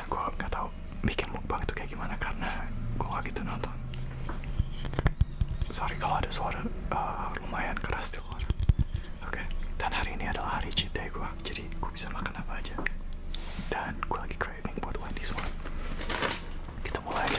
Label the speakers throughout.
Speaker 1: dan gue nggak tahu bikin mukbang itu kayak gimana karena gue gak gitu nonton sorry kalau ada suara eh, lumayan keras di luar oke dan hari ini adalah hari cheat day gue jadi gue bisa makan apa aja dan gue lagi craving buat Wendy's one kita mulai aja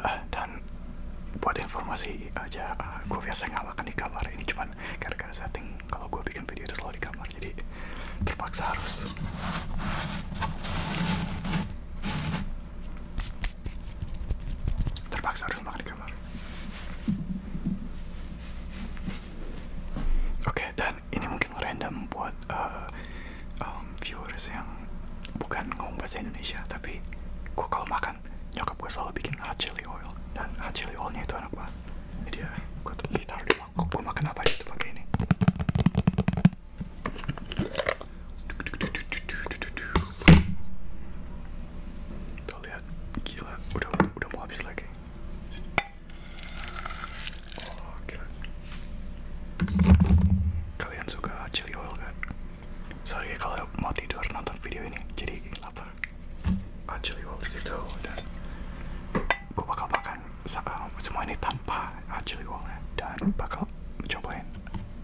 Speaker 1: uh, dan buat informasi aja uh, eh, gue biasa nggak makan di kamar ini cuman gara-gara setting kalau gue bikin video itu selalu di kamar jadi terpaksa harus terpaksa harus makan di kamar oke okay, dan ini mungkin random buat uh, viewers yang bukan ngomong bahasa Indonesia tapi gue kalau makan nyokap gue selalu bikin hot chili oil dan hot chili oilnya itu enak banget jadi ya gue taruh di mangkok gue makan apa itu pakai ini tuh lihat gila udah udah mau habis lagi oh, kalian suka chili oil kan sorry ya kalau mau tidur nonton video ini jadi lapar Actually ajaib itu dan gue bakal makan eh, semua ini tanpa actually ajaib dan bakal cobain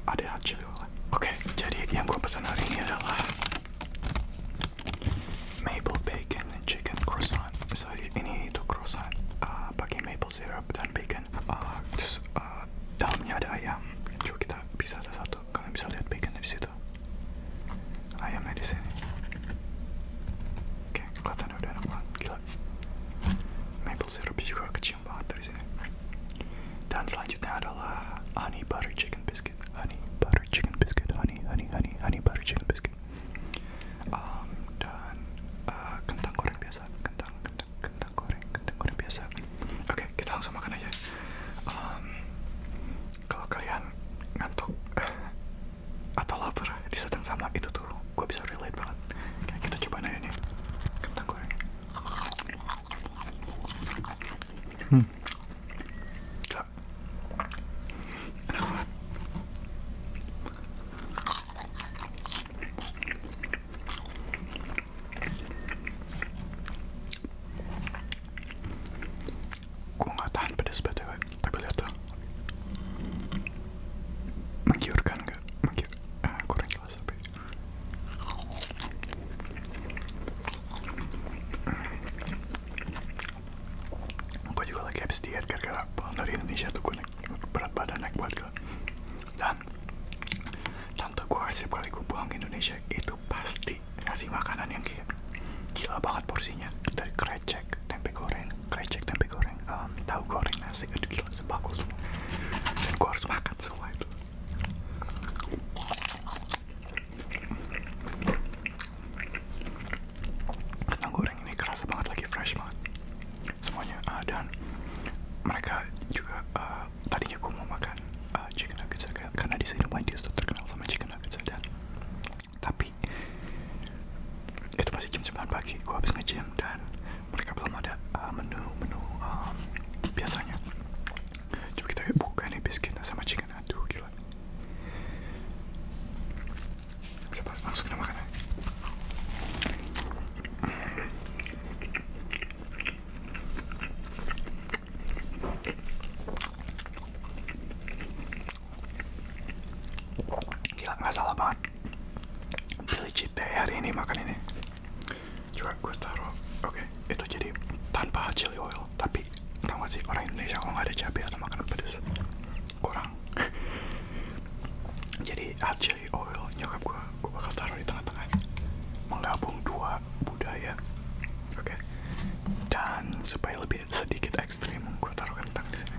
Speaker 1: ada actually ajaib Oke, okay, jadi yang gue pesan hari ini adalah maple bacon chicken croissant. Sorry ini itu croissant uh, pakai maple syrup dan bacon. Uh, terus uh, dalamnya ada ayam coba kita bisa satu-satu kalian bisa lihat baconnya di situ ayamnya di sini oke kelihatannya udah enak banget gila maple syrupnya juga kecil banget dari sini dan selanjutnya adalah honey butter chicken biscuit honey butter chicken biscuit honey honey honey honey butter chicken biscuit um, dan uh, kentang goreng biasa kentang kentang goreng kentang goreng biasa oke kita langsung makan aja um, kalau kalian ngantuk eh, atau lapar di yang sama itu tuh gue bisa relate banget kita coba nanya nih kentang goreng hmm Gue gak tahan ya, tuh Menggiurkan gak? Ah, kurang jelas tapi juga lagi habis diet gara-gara pulang dari Indonesia tuh gue berat badan naik banget loh dan tante gue setiap kali gue pulang ke Indonesia itu pasti ngasih makanan yang kayak gila banget porsinya dari krecek tempe goreng krecek tempe goreng um, tahu goreng nasi itu gila sebagus semua dan gue harus makan semua itu kentang goreng ini keras banget lagi fresh banget semuanya uh, dan mereka juga uh, tadinya aku mau makan uh, chicken nuggets karena di sini Wendy itu terkenal sama chicken nuggets dan tapi itu masih jam 9 pagi gua habis ngejam dan mereka belum ada menu-menu uh, um, biasanya coba kita buka nih biskuitnya sama chicken aduh gila Coba langsung banget Pilih cheat hari ini makan ini Coba gue taruh Oke itu jadi tanpa chili oil Tapi tau gak orang Indonesia kalau nggak ada cabai atau makanan pedas Kurang jadi aci oil nyokap gue gue bakal taruh di tengah tengah menggabung dua budaya oke dan supaya lebih sedikit ekstrim gue taruh kentang di sini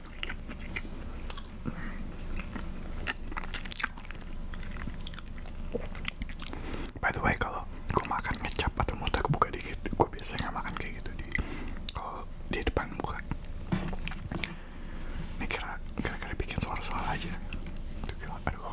Speaker 1: By the way, kalau gue makan ngecap atau muter buka dikit, gue biasanya makan kayak gitu di kalau di depan muka. Ini kira kira bikin suara suara aja. Tuh gila, aduh.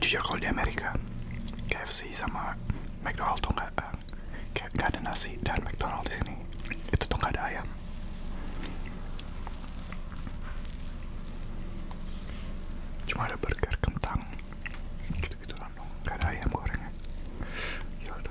Speaker 1: jujur kalau di Amerika KFC sama McDonald tuh nggak eh, nggak ada nasi dan McDonald di sini itu tuh ayam cuma ada burger kentang gitu gitu dong nggak ada ayam gorengnya gitu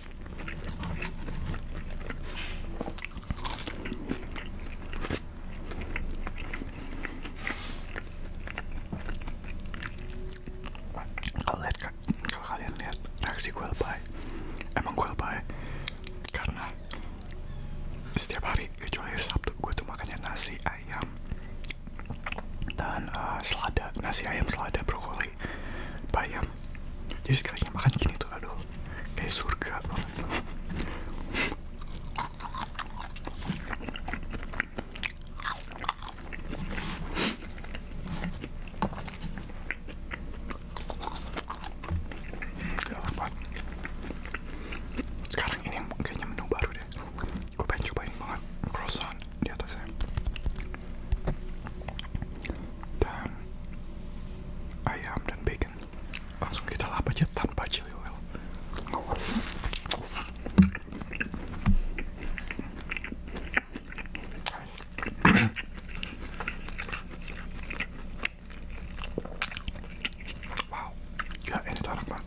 Speaker 1: kalian lihat reaksi gue lebay, emang gue lebay karena setiap hari kecuali Sabtu gue tuh makannya nasi ayam dan uh, selada nasi ayam selada brokoli bayam jadi sekalinya makan gini tuh aduh kayak surga ini kayaknya menu baru deh go back to biting the other side. Dan, ayam dan bacon langsung kita lap aja tanpa chili oil. wow, ini enak banget.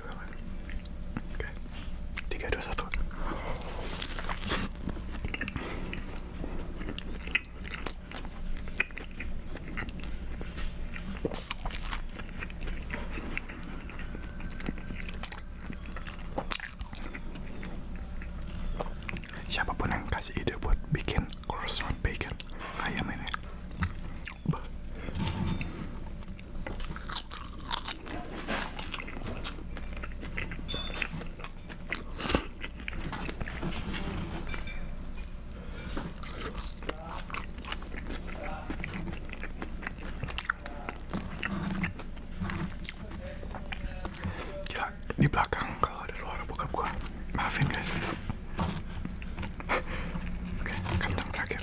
Speaker 1: Oke. Tiga dua satu. Siapapun yang kasih ide buat bikin croissant bacon ayam ini Ya, di belakang kalau ada suara buka-buka maafin guys. Oke, kentang terakhir.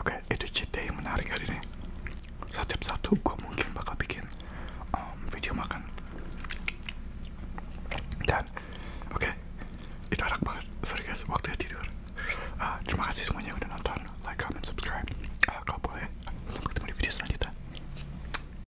Speaker 1: Oke, itu cheat yang menarik hari ini. satu satu gue mungkin bakal bikin um, video makan. Dan oke, itu enak banget. Sorry guys, waktunya tidur. Ah, terima kasih semuanya udah nonton, like, comment, subscribe. Uh, boleh, tunggu ketemu di video selanjutnya.